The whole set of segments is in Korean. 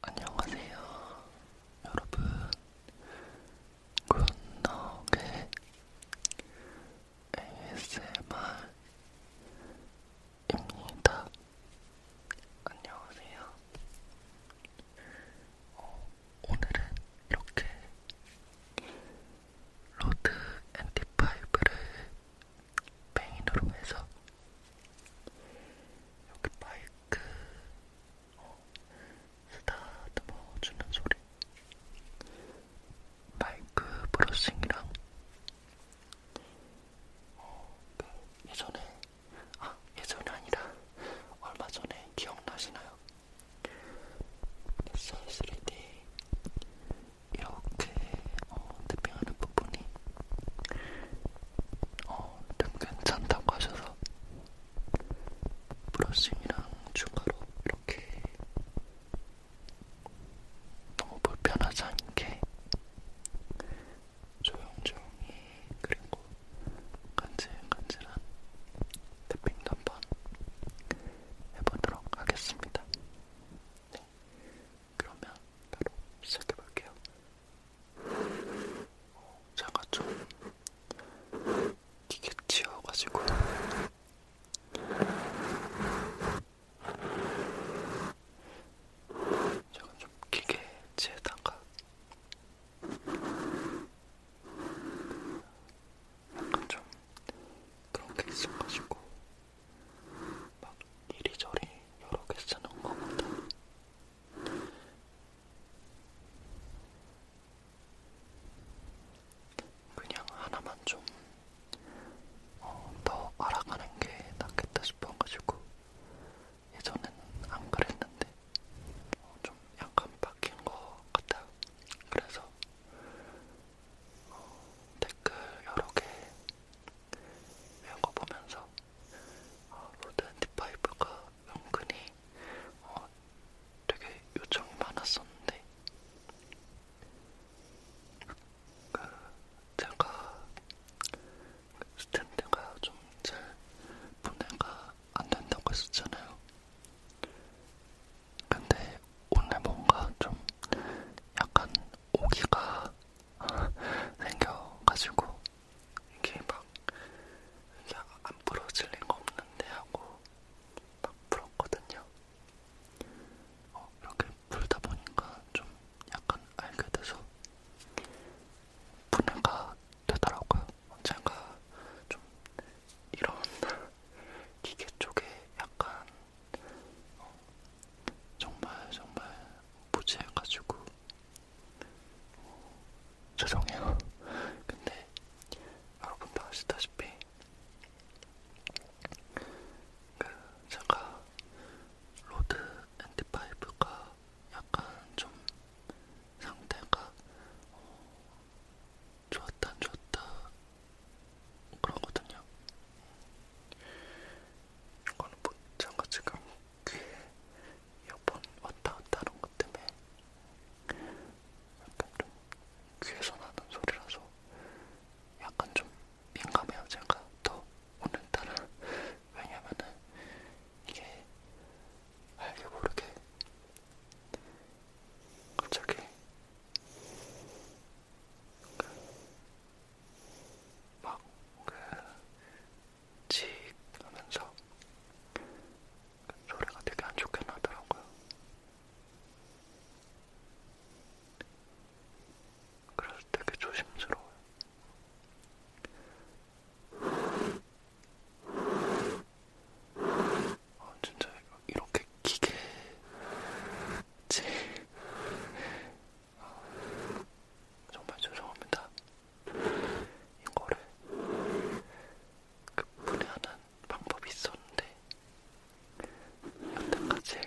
안녕하세요 여러분 굿노의 ASMR입니다 안녕하세요 어, 오늘은 이렇게 로드 NT5를 메인으로 해서 여기 마이크 어, 쓰다듬어주는 소리 마이크 브러싱이랑 어, 그 예전에 아 예전이 아니라 얼마 전에 기억나시나요? s 3D 이렇게 어, 태핑하는 부분이 어, 좀 괜찮다고 하셔서 브러싱이랑 중가로 이렇게 너무 불편하지 않게 조용조용히 그리고 간질간질한 탭핑도 한번 해보도록 하겠습니다. 네, 그러면 바로 시작해볼게요. 제가 좀 기계 치여가지고 제가 좀 기계치에다가 약간 좀 그런 게 있어가지고 막 이리저리 여러 개 쓰는 거보다 그냥 하나만 좀더 어, 알아가는 게 낫겠다 싶어가지고 예전에는 안 그랬는데 어, 좀 약간 바뀐 것 같아요. 그래서 어, 댓글 여러 개 읽어보면서 아, 로드앤디파이브가 은근히 어, 되게 요청이 많았었는데 그 제가 스탠드가 좀잘 분해가 안 된다고 했었잖아요. 근데 오늘 뭔가 좀 약간 오기가 생겨가지고 이게 막 이게 안 부러질 리가 없는데 하고 막 풀었거든요. 어, 이렇게 풀다 보니까 좀 약간 알게 돼서 분해가 되더라고요. 제가 좀 이런 기계 쪽에 약간 어, 정말 정말 무지해가지고 어, 죄송해요. 근데 여러분도 아시다시피 그 제가 로드 엔티파이브가 약간 좀 상태가 어, 좋았다 좋았다 그러거든요. 이거는 뭔가 지금 귀에 이어폰 왔다 갔다 하는 것 때문에 약간 좀 귀에서 나는 소리라서 약간 좀 민감해요 제가 더 오늘따라 왜냐면은 이게 알게 모르게 갑자기 막그지 하면서 그 소리가 되게 안 좋게 나더라고요. 그래서 되게 조심스러워요. 아, 진짜 이렇게 기계 제 정말 죄송합니다. 이거를 분해하는 방법이 있었는데 여태까지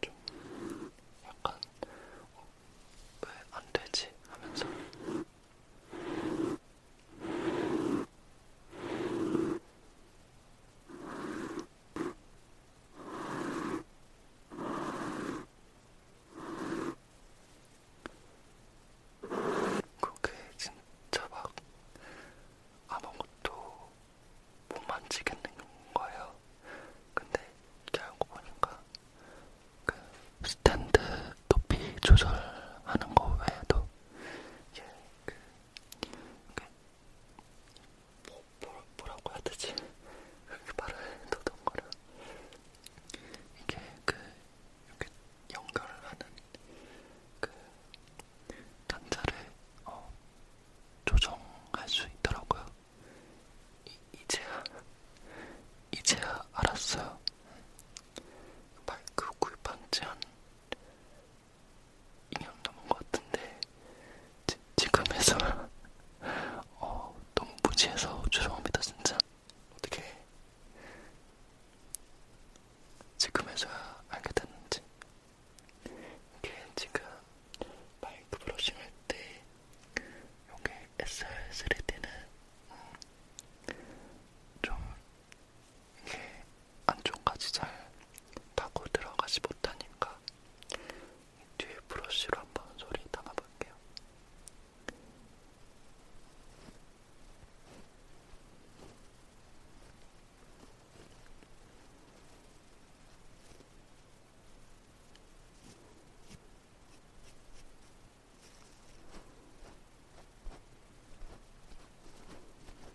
좀 약간 어, 왜안 되지 하면서 그게 진짜 막 아무것도 못 만지겠는 거예요. 근데 이제 알고 보니까 그 스탠드 높이 조절하는 거 외에도 이제 그, 그 뭐, 뭐라, 뭐, 뭐라고 해야 되지? 이렇게 말을 더듬거려. 이게 그, 이렇게 연결을 하는 그, 단자를, 어, 조정할 수 있더라고요. 이, 이제야, 이제야 알았어요. 음. 마이크 구입한 지한 2년 넘은 것 같은데 지, 지금 해서 어, 너무 무지해서 죄송합니다 진짜 어떻게 지금 해서야 알게 됐는지 이게 지금 마이크 브러싱 할때 여기 SR3D는 음, 좀 이게 안쪽까지 잘 파고 들어가지 못하니까 뒤에 브러쉬로 한 번 소리 담아볼게요.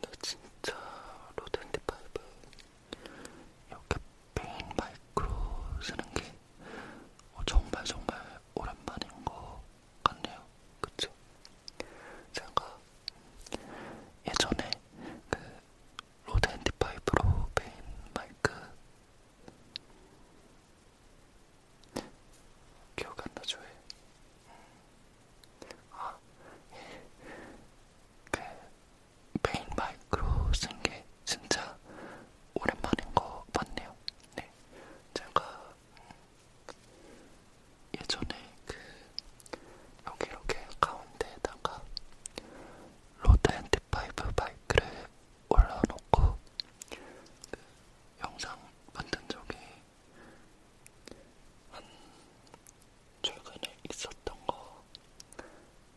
근데 진짜 로드앤드파이브 이렇게 페인 마이크로 쓰는 게 어, 정말 정말 오랜만인 것 같네요. 그쵸? 제가 예전에 그 로드 앤디파이브로 베인 마이크 기억 안 나죠? 아, 예. 그 베인 마이크로 쓴게 진짜 오랜만인 거 맞네요. 네, 제가 예전에 그 여기 이렇게 가운데에다가 로드 앤티파이브 바이크를 올려놓고 그 영상 만든 적이 한 최근에 있었던 거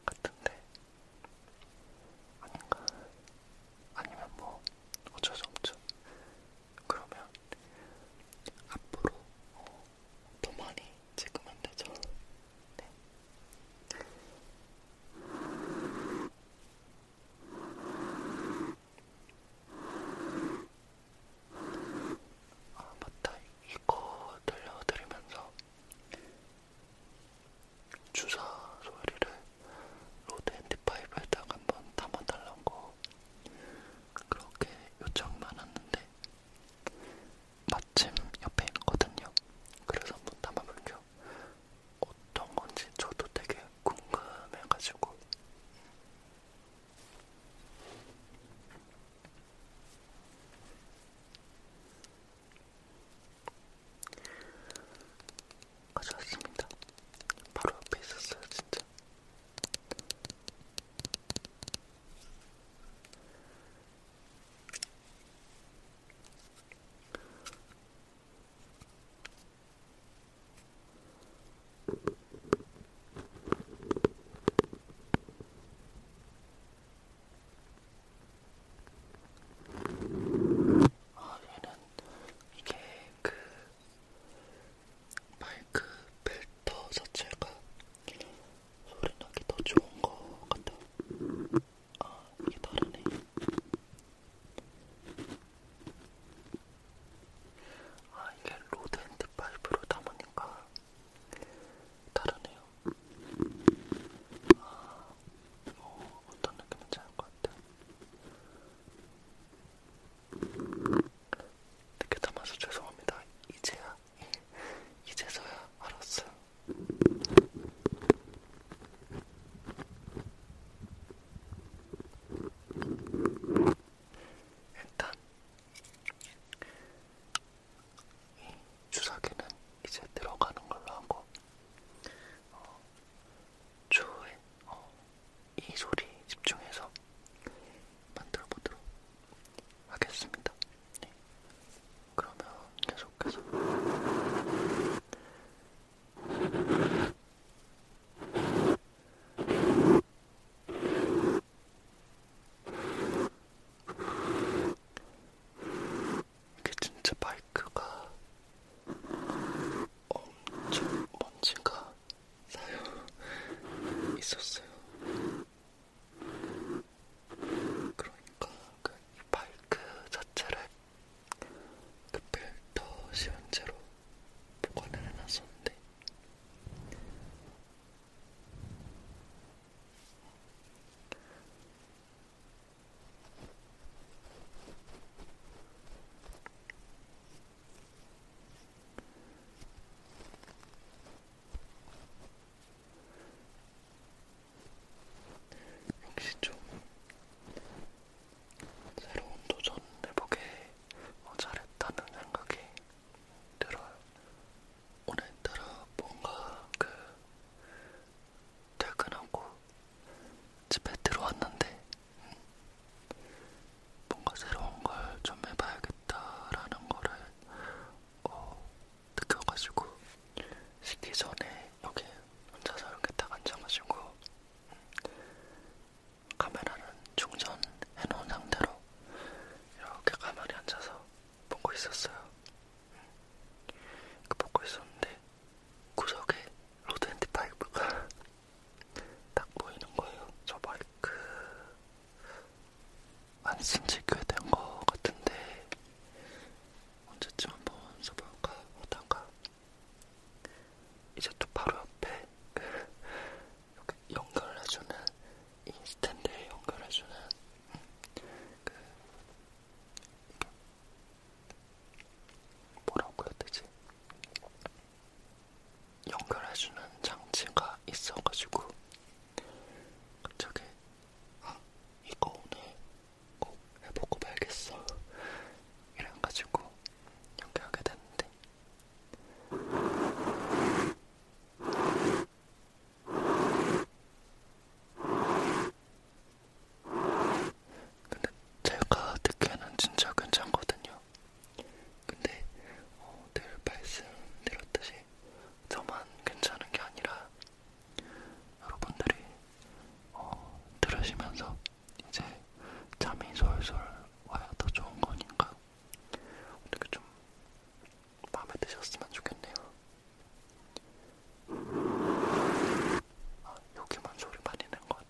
같은데 아닌가? 아니면 뭐 어쩔 수 없죠. 그러면 앞으로 어, 더 많이 찍으면 되죠. 네. 아 맞다 이거 들려드리면서 주사 소리를 로드 핸드파이브에다가 한번 담아달라고 그렇게 요청만 왔는데 마침 옆에 있거든요. 그래서 한번 담아볼게요. 어떤 건지 저도 되게 궁금해가지고. 가져왔습니다. 바로 앞에 있었어요, 진짜. 아, 얘는 이게 그 마이크 필터 자체가 소리 나기 더 좋은 것 같아. 아, 이게 다르네. 아, 이게 로드 핸드 파이프로 담으니까 다르네요. 아, 뭐 어떤 느낌인지 알 것 같아. 늦게 담아서 죄송합니다. 이제야, 이제서야 알았어요. 일단 이 주사기는 이제 들어가는 걸로 하고 어, 초에 어, 이 소리 집중해서 만들어 보도록 하겠습니다. 네. 그러면 계속해서. 이게 진짜 마이크가 엄청 먼지가 쌓여 있었어요. 그러니까 그 마이크 자체를 그 필터 씌운 채로 보관을 해놨었는데 역시 좀 새로운 도전 해보게 잘했다는 생각이 들어요. 오늘따라 뭔가 그 퇴근하고 집에 들어왔는데 뭔가 새로운 걸 좀 해봐야겠다라는 거를 어, 느껴가지고 식기 전에 여기 혼자서 이렇게 딱 앉아가지고 카메라는 충전해놓은 상태로 이렇게 가만히 앉아서 보고 있었어요. 그 먹고 있었는데 구석에 로드앤드 파이브가 딱 보이는 거예요. 저 마이크 안쓴지 꽤된 거 같은데 언제쯤 한번 써볼까 하다가 이제 또 바로 옆에 이렇게 연결해주는 인스턴트에 연결해주는 그 뭐라고 해야 되지? 연결해주는 장치가 있어가지고 갑자기 아, 이거 오늘 꼭 해보고 말겠어 이래가지고 연결하게 됐는데 근데 제가 듣기에는 진짜 괜찮거든요. 근데 어, 늘 말씀드렸듯이 저만 괜찮은 게 아니라 여러분들이 어, 들으시면서 이제 잠이 솔솔 와야 더 좋은 거니까 어떻게 좀 마음에 드셨으면 좋겠네요. 아, 여기만 소리 많이 낸 것 같아.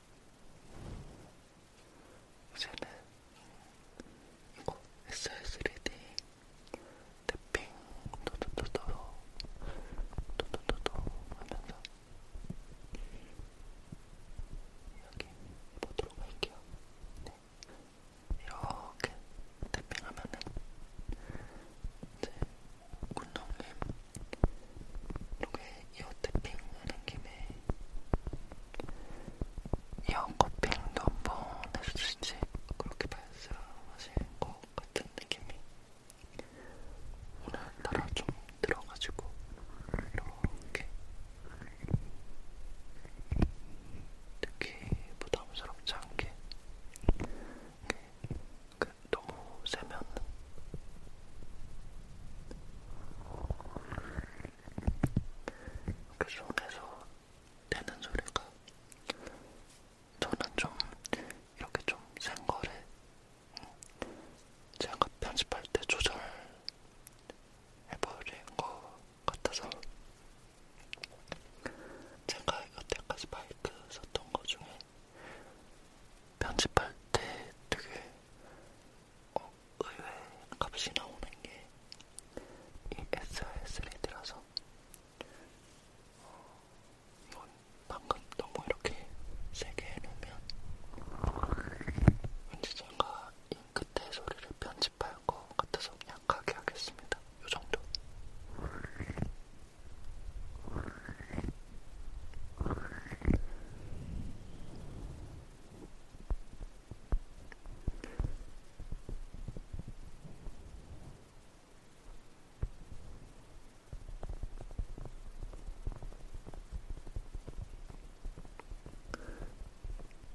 이제는 이거 SR3D 탭핑 도도도도 도도도도 하면서 여기 보도록 할게요. 네. 이렇게 탭핑하면은 이제 군동님 이렇게 이어태핑 하는 김에 이어커핑도 한번 해주시지 그렇게 발사하실 것 같은 느낌이 오늘따라 좀 들어가지고 이렇게 특히 부담스럽지 않게 그 너무 세면 그 속에서 되는 소리가 저는 좀 이렇게 좀센 거를 제가 편집할 때 조절해버린 것 같아서 제가 여태까지 마이크 썼던 것 중에 편집할 때 되게 어, 의외 값이 나오는 게 이 SRS를 들어서 어, 이건 방금 너무 이렇게 세게 해놓으면 왠지 제가 이 끝에 소리를 편집할 것 같아서 약하게 하겠습니다. 이 정도.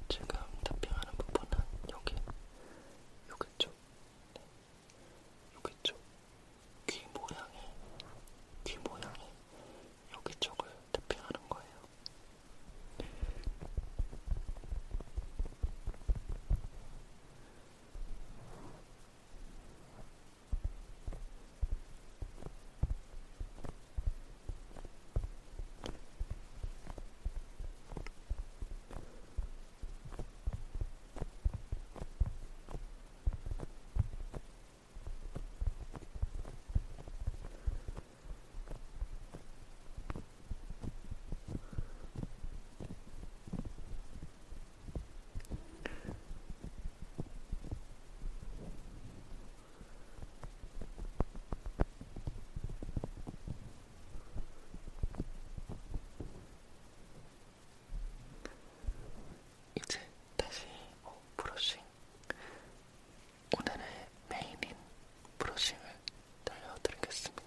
지금 탑핑하는 부분은 여기, 여기 쪽, 네. 여기 쪽, 귀 모양에, 귀 모양에 여기저기 태핑하는 거예요. 이제 다시 어, 브러싱 오늘의 메인인 브러싱을 들려드리겠습니다.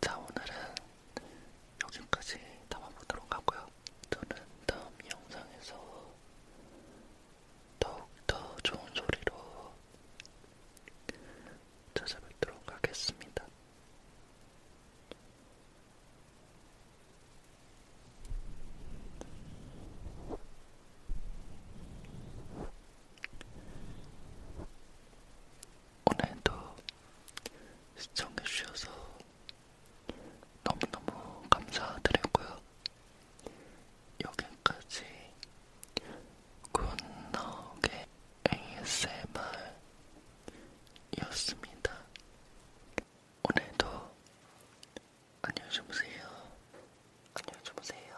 자, 오늘은 여기까지 담아보도록 하고요. 저는 다음 영상에서 더욱더 좋은 소리로 찾아뵙도록 하겠습니다. 오늘도 시청해주셔서 너무너무 감사드리고요. 여기까지 굿나옥의 ASMR이었습니다. 오늘도 안녕히 주무세요. 안녕히 주무세요.